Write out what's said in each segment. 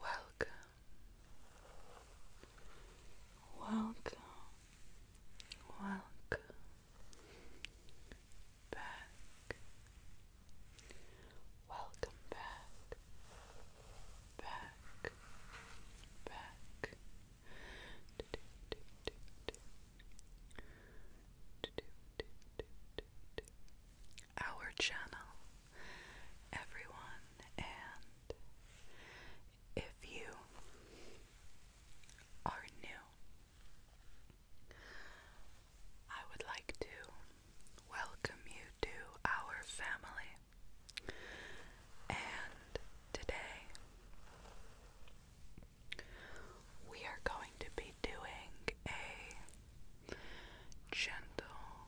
Welcome, welcome, welcome back, welcome back, back, back. Do, do, do, do, do. Do, our channel, everyone, and if you are new, I would like to welcome you to our family. And today, we are going to be doing a gentle,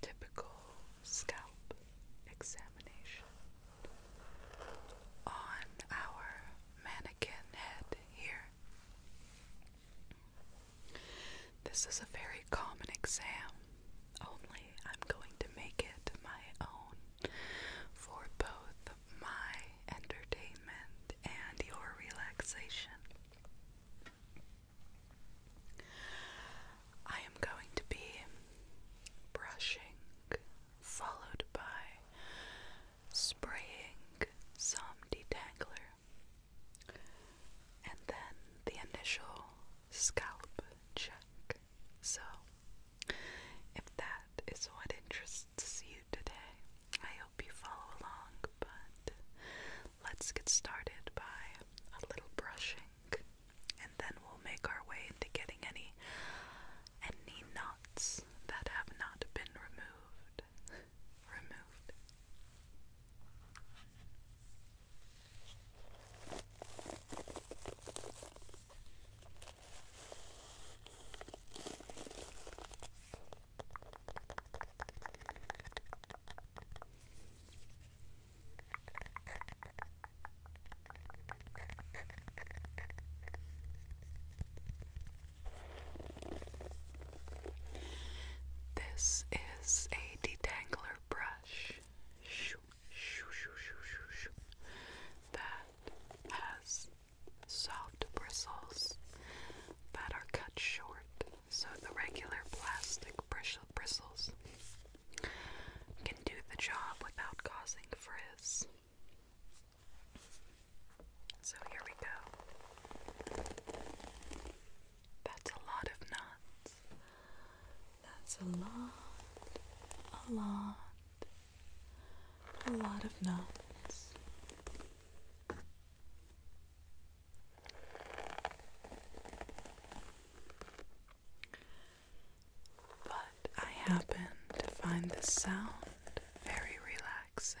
typical scalp examination on our mannequin head here. This is a very common exam, only I'm going to make it my own for both my entertainment and your relaxation. I am going to be brushing, followed by spraying some detangler, and then the initial scalp check. So, if that is what interests you today, I hope you follow along. But let's get started by a little brushing, and then we'll make our way into getting any any knots that have not been removed. removed. This is a detangler brush. Shoo that has soft bristles that are cut short. So the regular plastic bristles can do the job without causing frizz. So here we go. That's a lot of knots. That's a lot, a lot, a lot of knots. But I happen to find this sound very relaxing.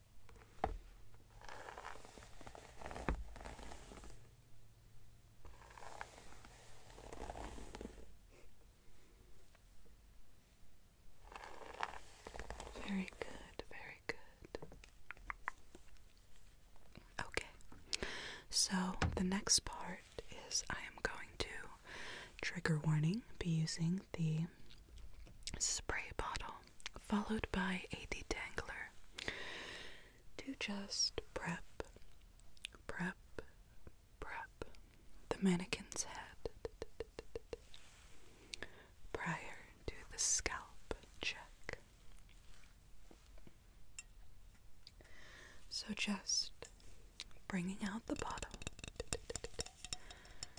Very good, very good. Okay, so the next part is I am going to trigger warning be using the spray bottle followed by a detangler to just prep, prep, prep the mannequin's head prior to the scalp check. So just bringing out the bottle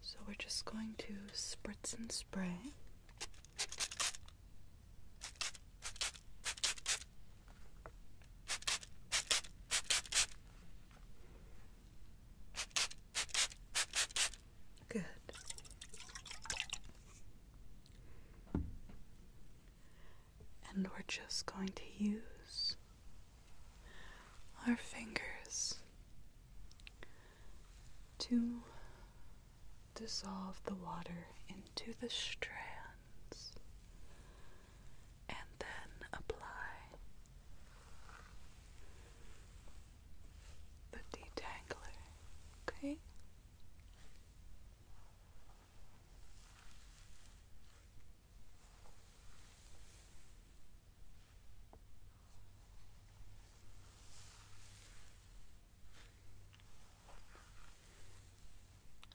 so we're just going to spritz and spray. Good. And we're just going to use our fingers to dissolve the water into the strands and then apply the detangler. Okay?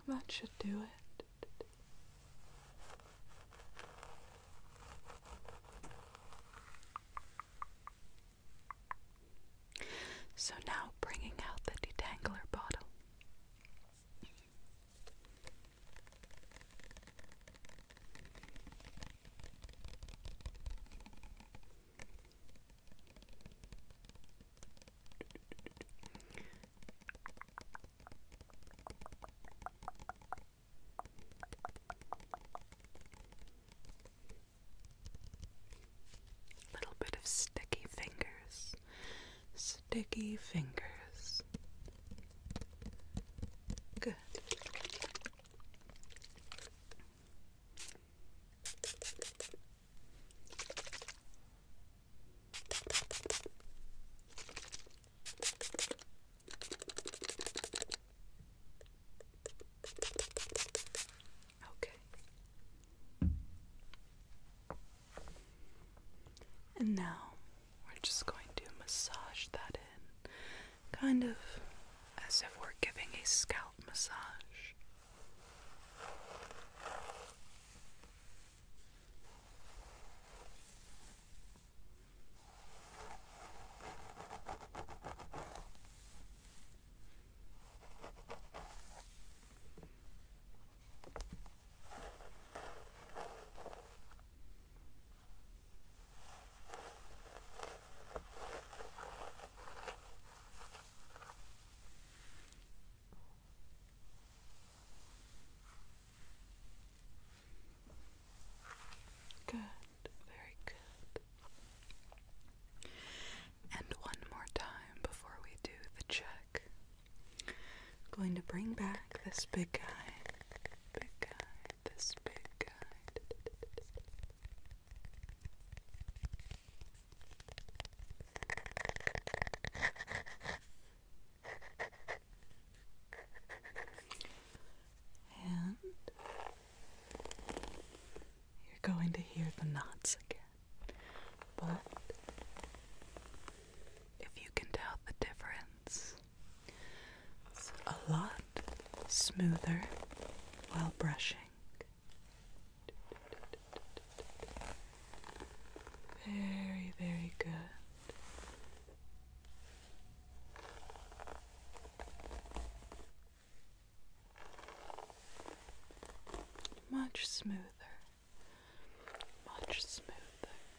That should do it. So now bringing out the detangler bottle. Little bit of sticky fingers, sticky fingers. Good. Okay. And now we're just going to massage that in kind of as if we're giving a scalp massage. Good, very good. And one more time before we do the check. going to bring back this big guy. Big guy this big guy. And you're going to hear the knots again, but if you can tell the difference it's a lot smoother while brushing. Very, very good. Much smoother, much smoother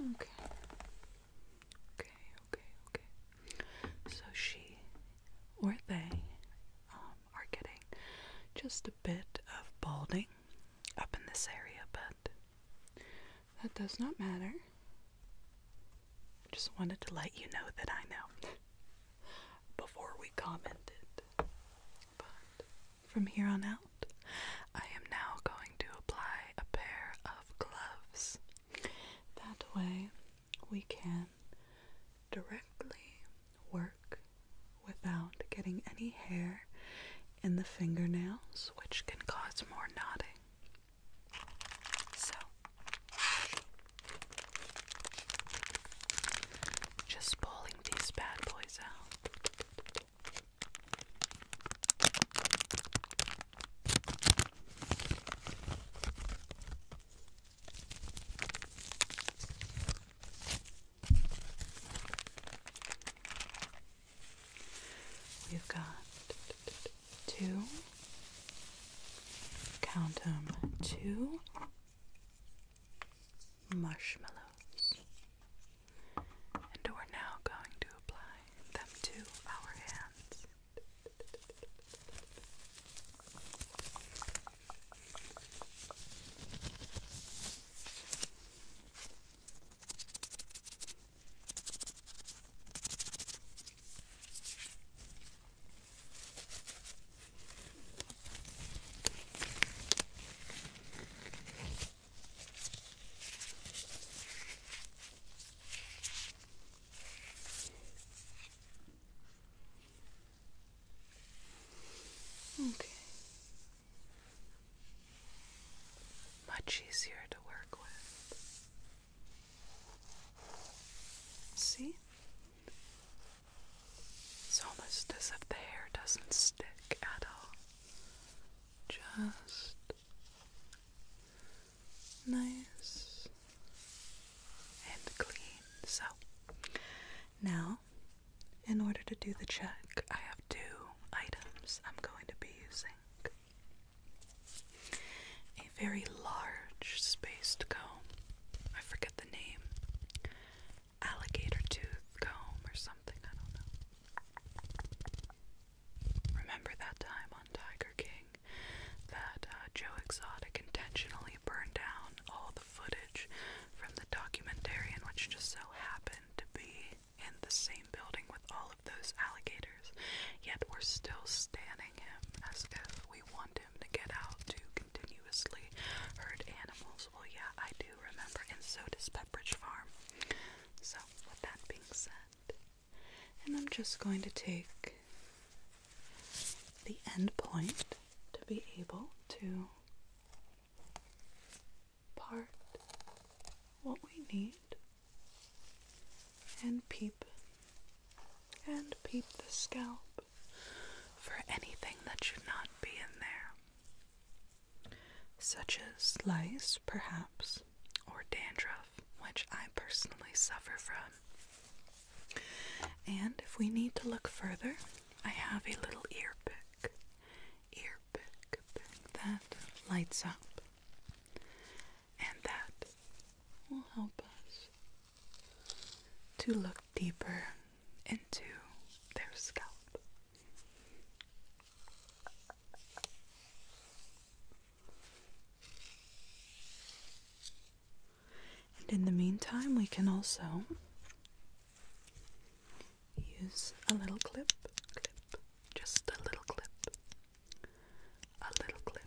Okay. Okay, okay, okay. So she or they um, are getting just a bit of balding up in this area, but that does not matter. Just wanted to let you know that I know before we commented. From here on out, I am now going to apply a pair of gloves. That way, we can directly work without getting any hair in the fingernails, which can cause more knotting. So, just pulling these bad boys out. We've got two, count two marshmallows. And we're now going to apply them to our hands. Okay. Much easier to work with. See? It's almost as if the hair doesn't stick at all. Just nice and clean. So now, in order to do the check, I have two items I'm going to be using. A very large spaced comb. I forget the name alligator tooth comb or something, I don't know. Remember that time on Tiger King that uh, Joe Exotic intentionally burned down all the footage from the documentarian, which just so happened to be in the same building with all of those alligators, yet we're still standing him as if we wanted to get out to continuously herd animals. Well, oh, yeah, I do remember, and so does Farm. So, with that being said, and I'm just going to take the end point to be able to part what we need and peep and peep the scalp for anything that should not be in there, such as lice, perhaps, or dandruff, which I personally suffer from. And if we need to look further, I have a little ear pick, ear pick, that lights up, and that will help us to look deeper into their scalp. And in the meantime, we can also use a little clip, clip, just a little clip, a little clip.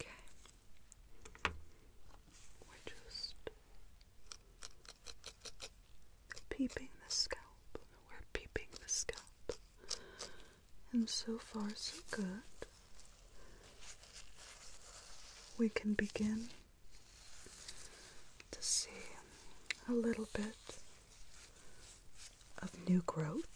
Okay. We're just peeping the scalp. We're peeping the scalp. And so far, so good. We can begin to see a little bit of new growth.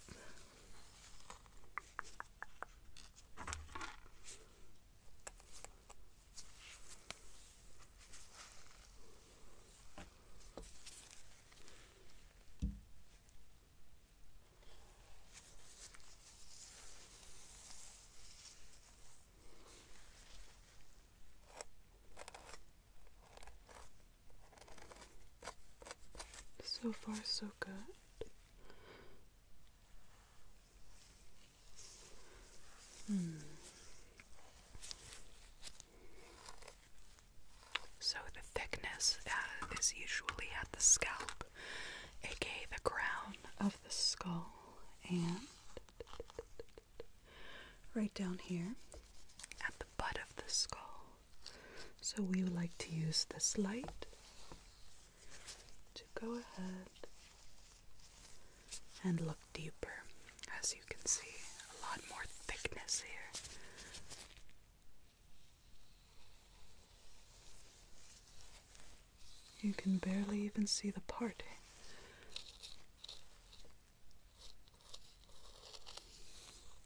So far, so good. Hmm. So the thickness uh, is usually at the scalp, aka the crown of the skull, and right down here at the butt of the skull. So we would like to use this light to go ahead and look deeper. As you can see, a lot more thickness here. You can barely even see the part.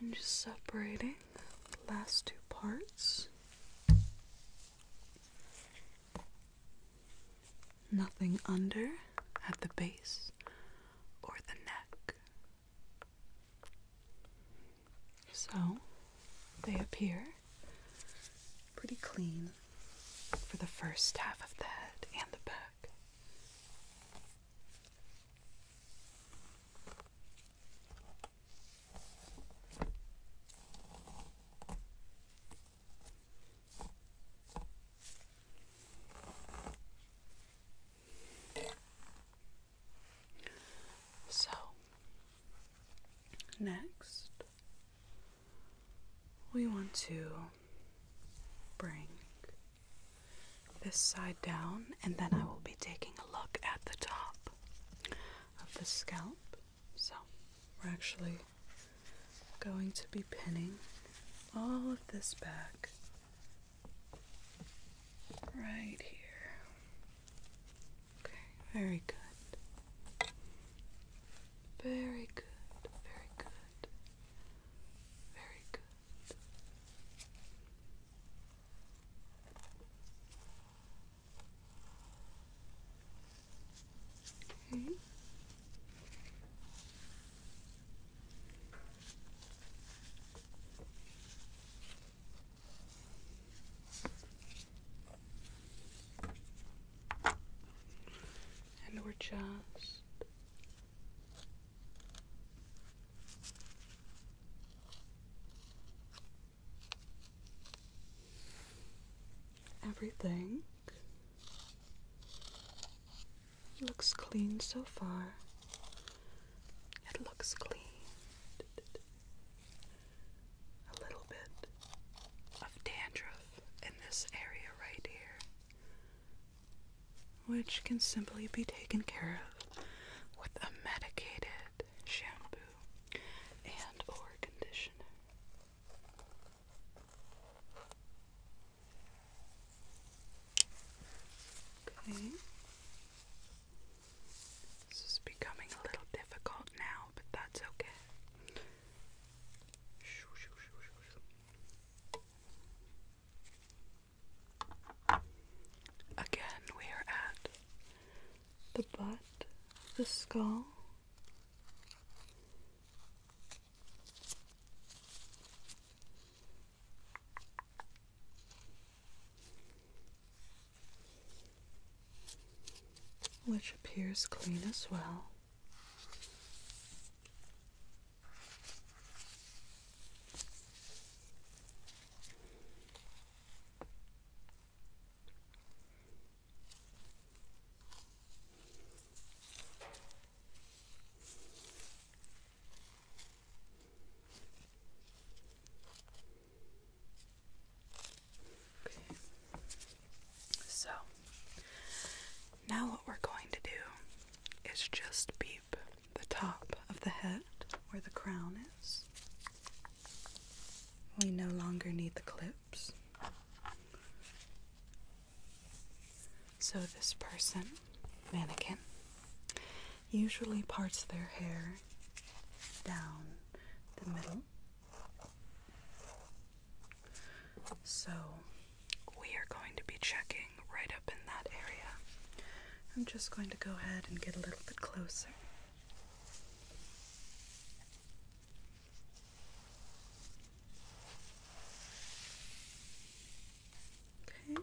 And just separating the last two parts. Nothing under at the base or the neck. So they appear pretty clean for the first half of the head and the back. So, next, we want to bring this side down, and then I will be taking a look at the top of the scalp. So, we're actually going to be pinning all of this back right here. Okay, very good. Very good, very good, very good. Okay. And we're just everything looks clean so far. It looks clean a little bit of dandruff in this area right here, which can simply be taken care of with a medicated shampoo and or conditioner. Okay. This is becoming a little difficult now, but that's okay. Again, we are at the butt, the skull which appears clean as well. So now what we're going to do is just beep the top of the head where the crown is. We no longer need the clips. So this person, mannequin, usually parts their hair down the middle. So we are going to be checking right up in that area. I'm just going to go ahead and get a little bit closer. Okay.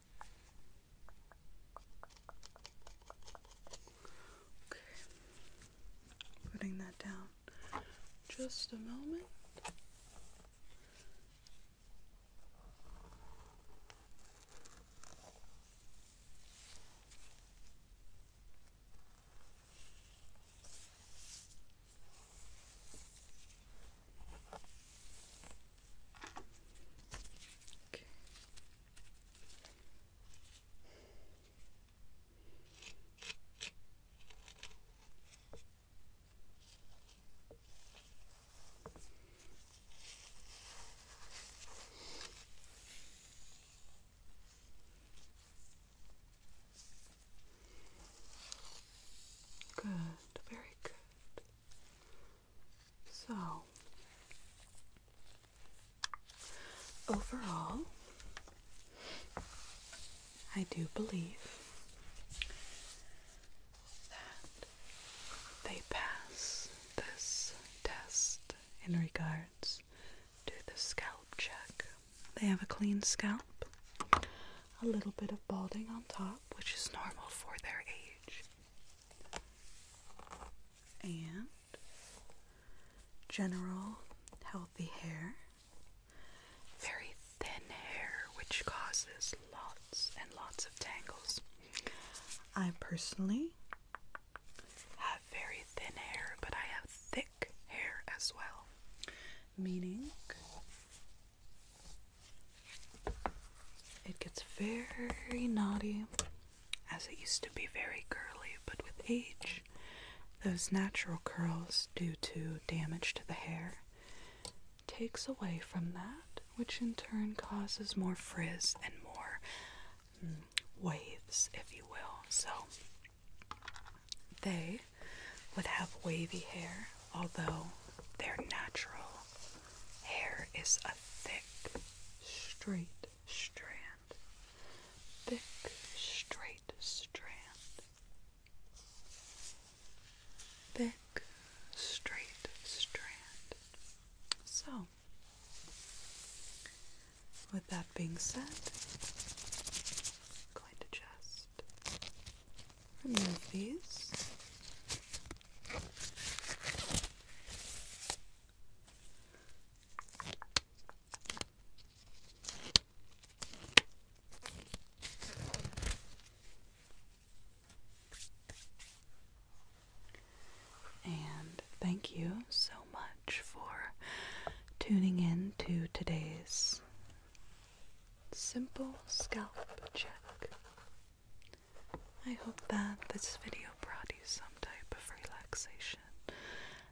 Okay, putting that down just a moment. Okay. Good, very good. So, overall, I do believe that they pass this test in regards to the scalp check. They have a clean scalp a little bit of balding on top, which is normal for their age. And general healthy hair. Very thin hair, which causes lots and lots of tangles. I personally have very thin hair, but I have thick hair as well, meaning it gets very knotty, as it used to be very curly, but with age, those natural curls due to damage to the hair takes away from that, which in turn causes more frizz and more mm, waves, if you will. So they would have wavy hair although their natural hair is a thick, straight strand. Thick, straight strand. Thick, straight strand. So, with that being said, going to just remove these. And thank you so much for tuning in to today's simple scalp check. I hope that this video brought you some type of relaxation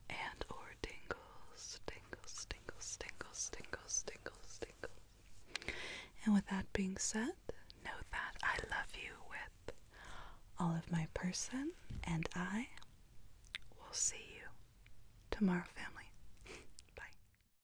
and or tingles, tingles, tingles, tingles, tingles, tingles, tingles. And with that being said, know that I love you with all of my person and I will see you tomorrow, family.